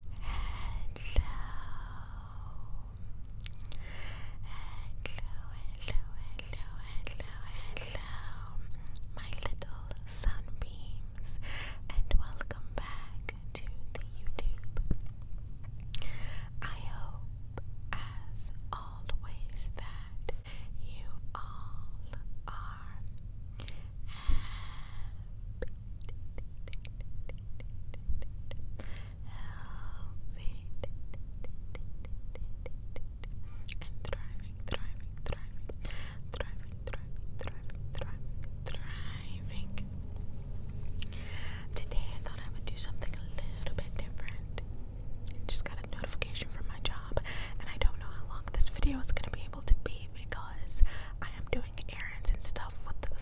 hello, hello, hello, hello, my little sunbeams, and welcome back to the YouTube. I hope, as always, that you all are healthy, and thriving, thriving, thriving, thriving, thriving, thriving, thriving, Today I thought I would do something a little bit different. I just got a notification from my job, and I don't know how long this video is gonna be able to be because I am doing errands and stuff with the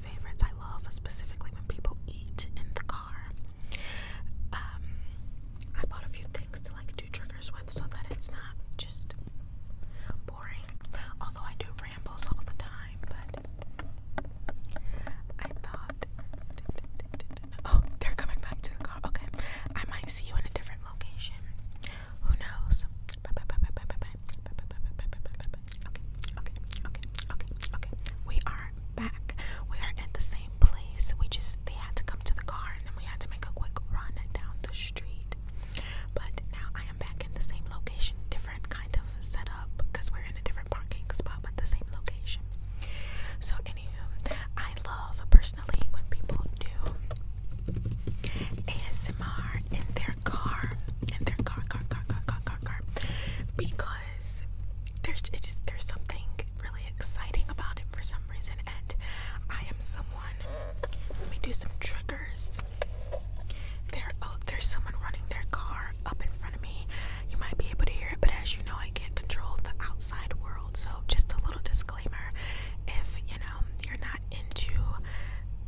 favorites. I love specifically when people eat in the car. Um, I bought a few things to like do triggers with so that it's not just boring. Although I do rambles all the time, but I thought. Oh, they're coming back to the car. Okay. I might see you in a different location. Who knows? Okay, okay, okay, okay, okay. We are back. We are at the same place. We just they had to come to the car and then we had to make a quick run down the street. But now I am back in the same location, different kind of setup because we're in a different parking spot but the same location. So anywho, I love personally when people do ASMR in their car, in their car, car, car, car, car, car, car, because there's it just there's something really exciting about it for some reason, and I am someone. Let me do some triggers. There, oh, there's someone running their car up in front of me. You might be able to hear it, but as you know, I can't control the outside world. So, just a little disclaimer: if you know you're not into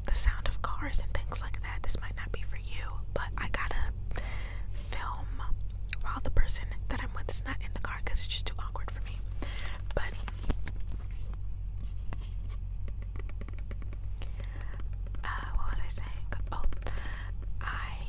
the sound of cars and things like that, this might not be for you, but I gotta film while the person that I'm with is not in the car because it's just too awkward for me. But what was I saying? Oh, I.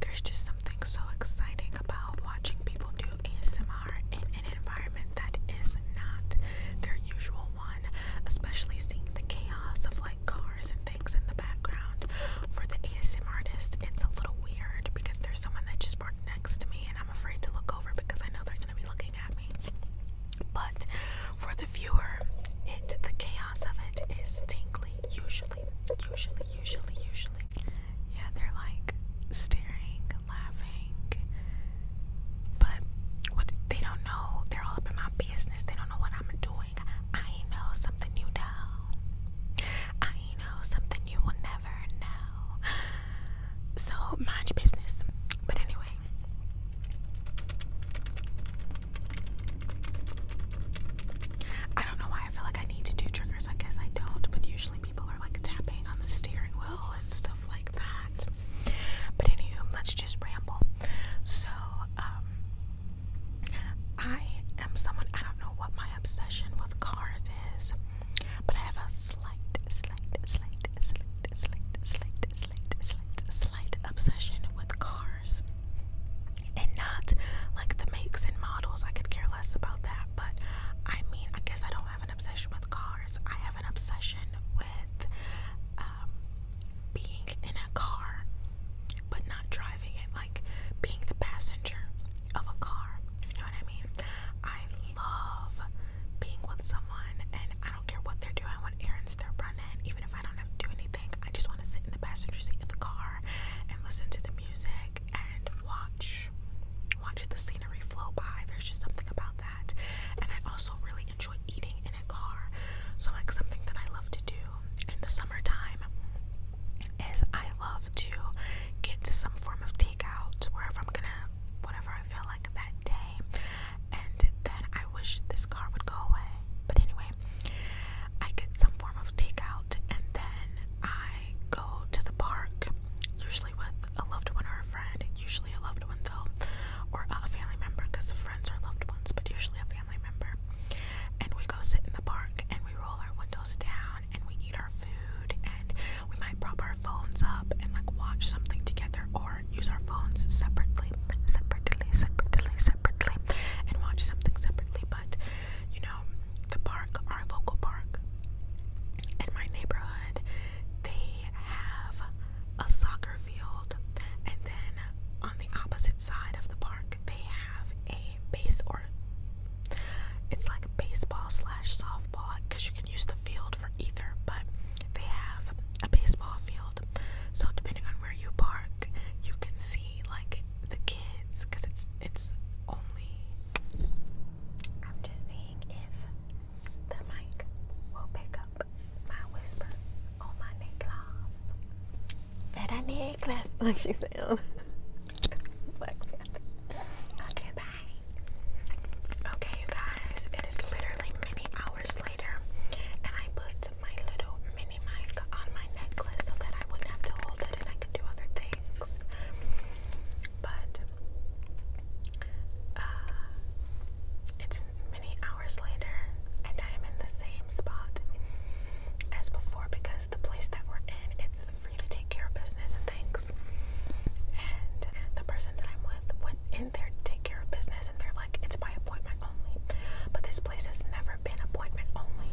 there's just something so exciting about watching people do ASMR in an environment that is not their usual one, especially seeing the chaos of like cars and things in the background. For the ASM artist, it's a little weird because there's someone that just parked next to me and I'm afraid to look over because I know they're going to be looking at me. But for the viewer, it the chaos of it is tingly usually, usually, usually, usually yeah, they're like staring, laughing, but they don't know, they're all up in my business. They don't know what I'm doing. I know something you know. I know something you will never know. So mind your business. But anyway. I don't know why I feel like I need to do triggers. I guess I don't, but usually people people are like tapping on the steering wheel and stuff like that. But anywho, let's just ramble. So, um, I am someone, I don't know what my obsession with cars is, but I have a slight, slight, slight, slight, slight, slight, slight, slight, slight obsession with cars. And not like the makes and models, I could care less about that, but I mean, I guess I don't have an obsession with cars. I have an obsession with um, being in a car, but not driving it, like being the passenger of a car. you know what I mean? I love being with someone, and I don't care what they're doing, what errands they're running, even if I don't have to do anything. I just want to sit in the passenger seat of the car and listen to the music and watch watch the scenery flow by. There's just something about that. And I also really enjoy eating in a car. So like something that I love to do in the summertime is I love to get some form of takeout wherever I'm gonna whatever I feel like that day. And then I wish this car would go away. But anyway, I get some form of takeout and then I I go to the park, usually with a loved one or a friend, usually a loved one though, or a family member because friends are loved ones, but usually a family member. And we go sit in the park and we roll our windows down and we eat our food and we might prop our phones up and like watch something together or use our phones separately, separately, separately, separately, and watch something separately. But you know, the park, our local park in my neighborhood, they have a soccer field, and then on the opposite side of the park, they have a base or it's like baseball slash softball because you can use the field for either, but they have a baseball field. So depending on where you park, you can see like the kids because it's it's only. I'm just seeing if the mic will pick up my whisper on my necklace. Better necklace. Look, she said. Oh. Black Panther. Okay, Okay, you guys, it is literally many hours later, and I put my little mini mic on my necklace so that I wouldn't have to hold it and I could do other things. But uh, it's many hours later, and I am in the same spot as before because the place that we're in, it's free to take care of business and things. And the person that I'm with went in there to take care of business, and they're like, it's by appointment only. But this place has never been appointment only.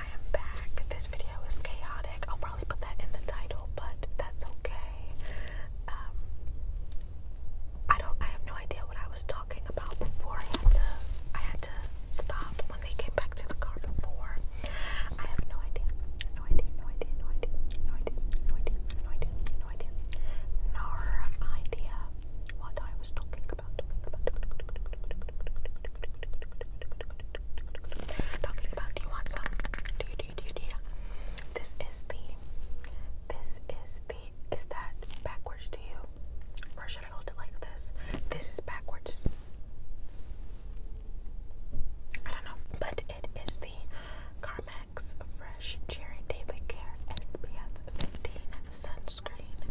I am back. This video is chaotic. I'll probably put that in the title, but that's okay. Um, I don't. I have no idea what I was talking about before. I had to. I had to stop when they came back to the car before. I have no idea. No idea. No idea. No idea. No idea. No idea. No idea. No idea. No idea what I was talking about. Talking about. Talking about. Talking about, do you want some? Do you, do you, do you, do you? This is the, this is the, is that backwards to you? Or should I hold it like this? This is backwards. I don't know, but it is the Carmex Fresh Cherry Daily Care SPF 15 sunscreen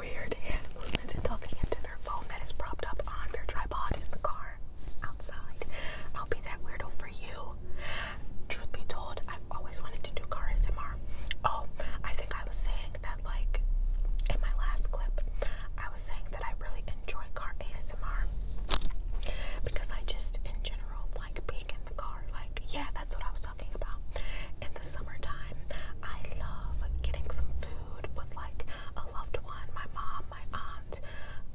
weird hand movements until they get to their phone that is propped up on their tripod in the car outside. I'll be that weirdo for you. Truth be told, I've always wanted to do car ASMR. Oh, I think I was saying that, like, in my last clip, I was saying that I really enjoy car ASMR because I just, in general, like being in the car. Like, yeah, that's what I was talking about. In the summertime, I love getting some food food with like a loved one, my mom, my aunt,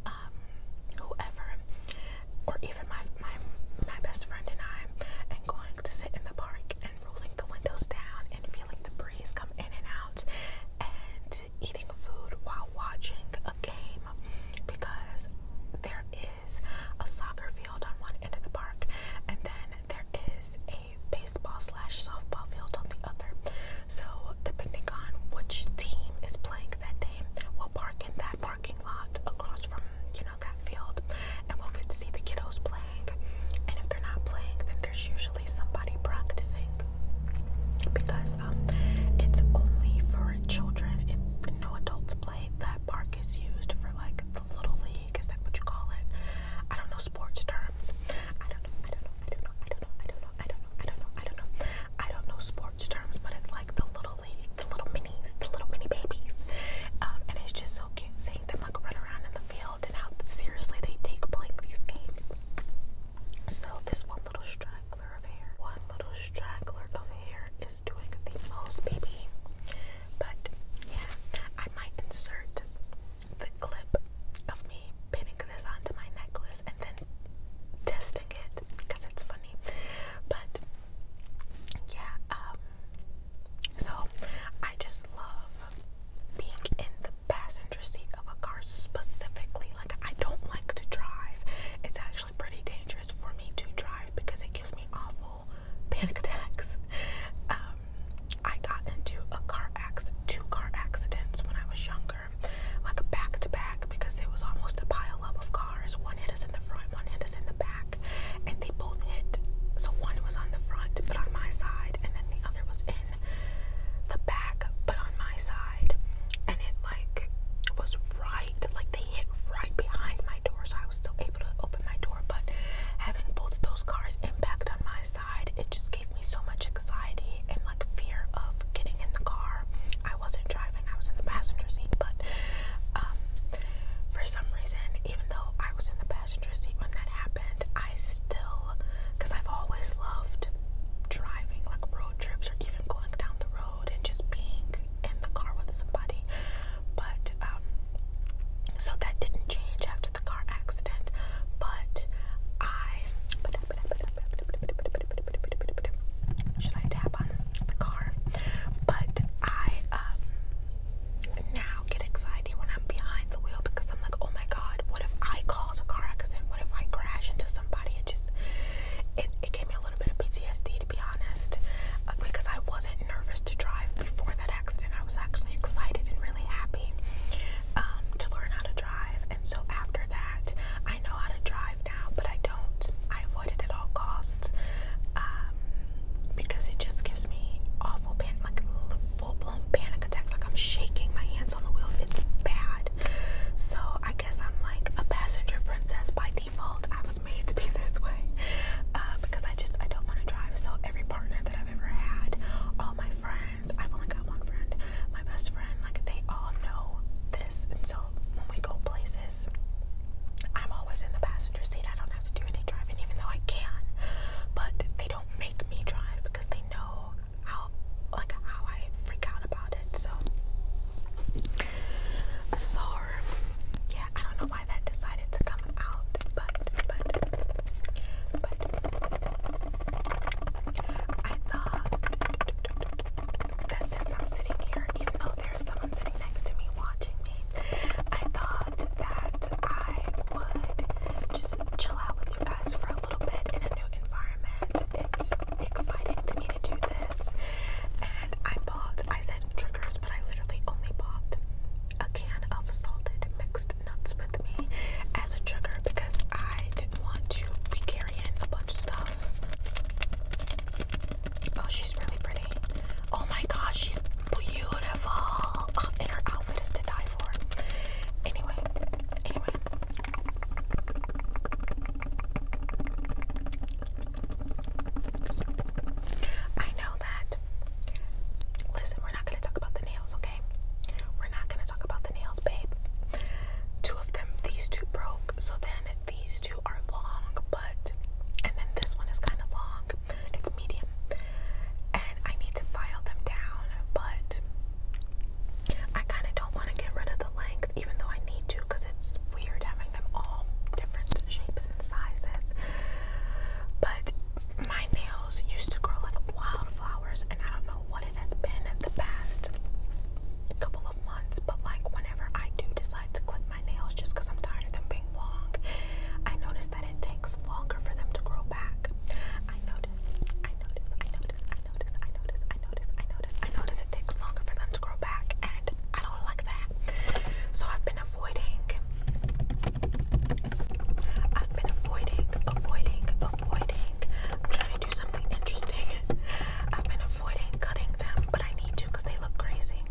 um, whoever, or even my my my best friend and I, and going to sit in the park and rolling the windows down and feeling the breeze come in and out, and eating food while watching a game because there is a soccer field on one end of the park, and then there is a baseball slash softball field on the other. So depending on which team is playing that day, we'll park in that parking lot across from you know that field, and we'll get to see the kiddos playing. And if they're not playing, then there's usually somebody practicing because um, it's only for children. If no adults play. That park is used for like the little league. Is that what you call it? I don't know sports terms. I don't know, I don't know, I don't know, I don't know, I don't know, I don't know, I don't know, I don't know. I don't know sports terms, but it's like the little league, the little minis, the little mini babies. Um, and it's just so cute seeing them like run around in the field and how seriously they take playing these games. So this one little straggler of hair, one little straggler of hair is doing the most, baby. But yeah, I might insert the clip of me pinning this onto my necklace and then testing it because it's funny. But yeah, um, so I just love being in the passenger seat of a car specifically. Like, I don't like to drive, it's actually pretty dangerous for me to drive because it gives me awful panic attacks. Um, I got into a car accident, two car accidents when I was younger, like back to back, because it was almost a pile up of cars. One hit us in the front, one hit us in the back, and they both hit. So one was on the front, but on my side, and then the other was in the back, but on my side, and it like was right, like they hit right behind my door, so I was still able to open my door. But having both of those cars impact on my side it just gave me so much anxiety and like fear of getting in the car. I wasn't driving, I was in the passenger seat, but um, for some reason, even though I was in the passenger seat when that happened, I still, because I've always loved driving, like road trips or even going down the road and just being in the car with somebody. But, um, so that didn't change after the car accident, but I. Should I tap on the car? But I um, now get excited when I'm behind the wheel because I'm like, oh my god, what if I cause a car accident? What if I crash into somebody? It just it, it gave me a little bit of PTSD to be honest, uh, because I wasn't nervous to drive before that and I was actually excited and really happy um, to learn how to drive. And so after that, I know how to drive now, but I don't. I avoid it at all costs um, because it just gives me awful panic, like full blown panic attacks. Like I'm shaking my hands on the wheel. It's bad. So I guess I'm like a passenger princess by default. I was made to be this way uh, because I just I don't want to drive. So every partner that I've ever had, all my friends I've only got one friend. My best friend, like they all know this, and so when we go places, I'm always in the passenger seat. I don't have to do any driving, even though I can. But they don't make me drive because they know how like how I freak out about it. So so yeah, I don't know why that decided to come out, but but but I thought that since I'm sitting here, even though there's someone sitting next to me watching me, I thought that I would just chill out with you guys for a little bit in a new environment. It's exciting to me to do this. And I bought, I said triggers, but I literally only bought a can of salted mixed nuts with me as a trigger because I didn't want to be carrying a bunch of stuff. Oh, she's really pretty. Oh my gosh, she's beautiful. Oh, and her outfit is to die for. Anyway, anyway. I know that listen, we're not gonna talk about the nails, okay? We're not gonna talk about the nails, babe. Two of them, these two broke, so then these two are long, but and then this one is kind of long, it's medium, and I need to file them down, but I kind of don't want to get rid of the length, even though I need to, because it's weird having them all different shapes and sizes. But my nail used to grow like wildflowers, and I don't know what it has been in the past couple of months, but like whenever I do decide to clip my nails just I'm tired of them being long, I notice that it takes longer for them to grow back. I notice, I notice, I notice, I notice, I notice, I notice, I notice, I notice it takes longer for them to grow back, and I don't like that. So I've been avoiding I've been avoiding, avoiding, avoiding. I'm trying to do something interesting. I've been avoiding cutting them, but I need to because they look crazy.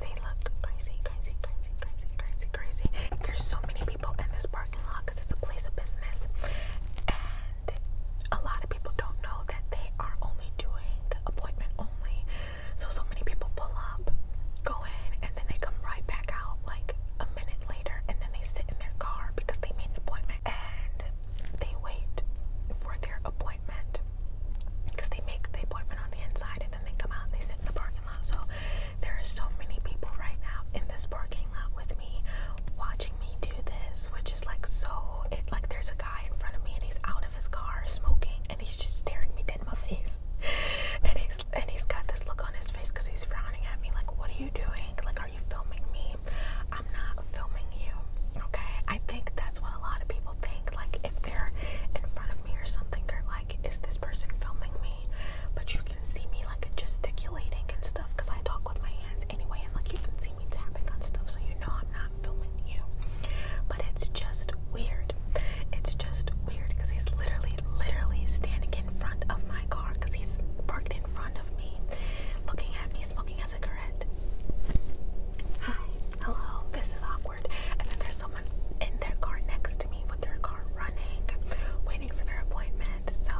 They look crazy, crazy, crazy, crazy, crazy, crazy. There's so many people in this parking lot because it's a place of business. And a lot of people don't know that they are only doing appointment only. So, so many people pull up, go in, and then they come right back out like a minute later and then they sit in their car because they made an appointment and they wait for their appointment because they make the appointment on the inside and then they come out and they sit in the parking lot. So there are so many people right now in this parking lot with me watching me do this, which is like so it like there's a guy in front of me and he's out of his car smoking and he's just staring me dead in my face. and he's and he's got this look on his face because he's frowning at me like, what are you doing? Like, are you filming me? I'm not filming you. Okay. I think that's what a lot of people think. Like, if they're in front of me or something, they're like, is this person filming me? But you can see me like gesticulating and stuff because I talk with my hands anyway, and like you can see me tapping on stuff, so you know I'm not filming you. But it's just weird. It's just weird because he's literally literally, standing in front of my car because he's parked in front of me, looking at me, smoking as a cigarette. Hi, hello, this is awkward. And then there's someone in their car next to me with their car running, waiting for their appointment. So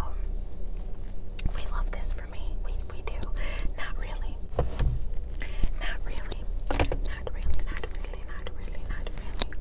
we love this for me. We we do. Not really. Not really. Not really. Not really. Not really. Not really.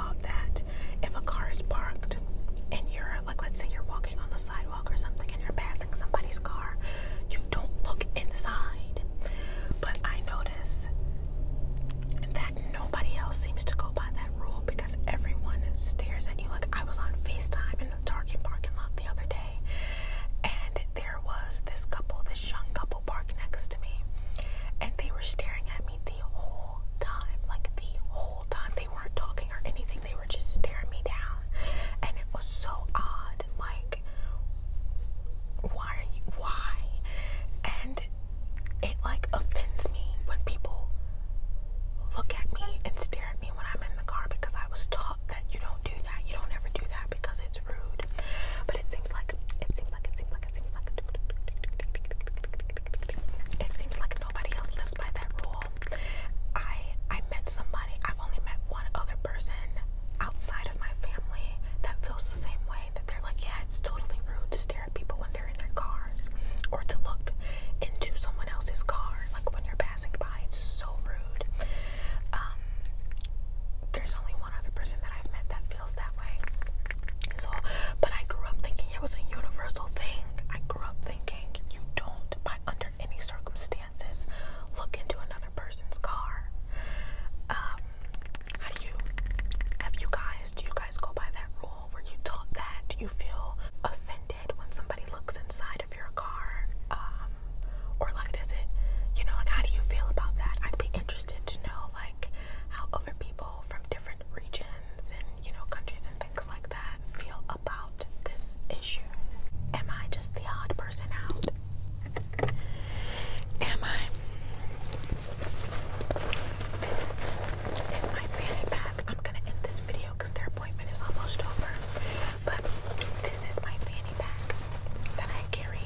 that if a car is parked and you're like let's say you're walking on the sidewalk or something and you're passing somebody's car you don't look inside but i notice that nobody else seems to go by that rule because everyone stares at you like i was on facetime in the target parking lot the other day and there was this couple this young couple parked next to me and they were staring at me the whole time. Like the whole time. They weren't talking or anything. They were just staring me down. And it was so odd. Like why are you why? And it like offends me when people look at me and stare at me when I'm in the car because I was taught that you don't do that. You don't ever do that because it's rude. But it seems like it seems like it seems like it it seems like nobody else lives by that rule. I I met somebody. I've only met one other person outside of my family that feels the same way. That they're like, yeah, it's totally rude to stare at people when they're in their cars, or to look into someone else's car, like when you're passing by. It's so rude. Um, there's only one other person that I've met that feels that way. So, but I grew up thinking it was a universal thing. I grew up thinking you don't, by under any circumstances, look into another person's car. Um, how do you, have you guys, do you guys go by that rule? Were you taught that? Do you feel offended when somebody looks inside of your car? Um, or like, does it, you know, like, how do you feel about that? I'd be interested to know, like, how other people from different regions and you know countries and things like that feel about this issue. Am I just the odd person out? Am I? This is my fanny pack. I'm gonna end this video because their appointment is almost over. But this is my fanny pack that I carry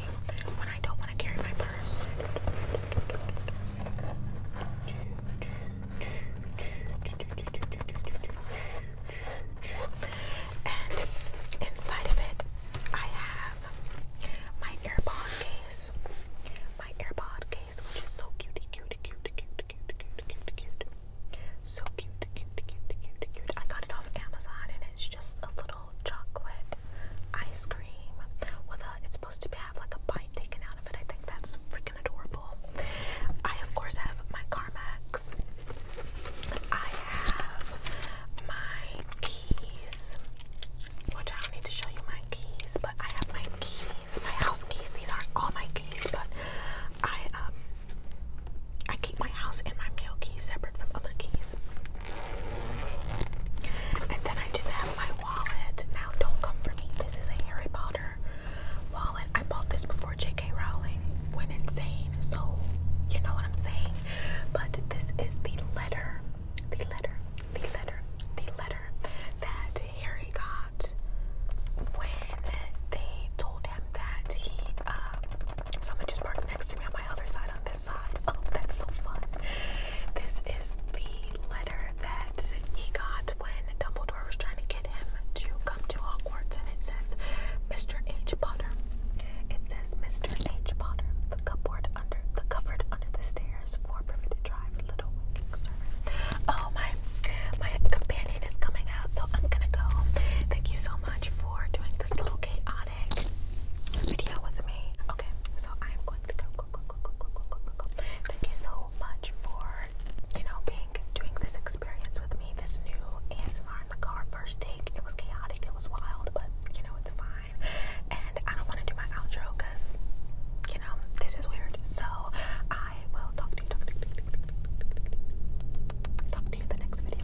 when I don't want to carry my purse. And inside of it, I have my AirPod case. My AirPod case, which is so cutie, cutie, cutie, cute, cute, cute, cute, cute. So cute, cute, cute, cute, cute. I got it off Amazon and it's just a little chocolate ice cream with a. It's supposed to have like a bite taken out of it. I think that's freaking adorable. I of course have my Carmax. I have my keys, which I don't need to show you my keys, but I have my keys, my house keys. These aren't all my keys, but I um, I keep my house and my mail keys separate from other keys. And then I just have my wallet. Now, don't come for me. This is a Harry Potter wallet. I bought this before J.K. Rowling went insane. So, you know what I'm saying? But this is the letter, the letter, the letter, the letter that Harry got when they told him that he, uh, someone just parked next to me on my other side Oh, that's so fun. This is the letter that he got when Dumbledore was trying to get him to come to Hogwarts, and it says, Mr. H. Potter. It says, Mr. H. Potter, the cupboard under the cupboard under the stairs for privy drive, little winking Oh, my my companion is coming out, so I'm gonna go. Thank you so much for doing this little chaotic video with me. Okay, so I'm going to go. Thank you so much for, you know, being doing this experience with me. This new ASMR in the car first take. It was chaotic, it was wild, but you know it's fine. And I don't want to do my outro because, you know, this is weird. So I will talk to you. Talk to you. in the next video.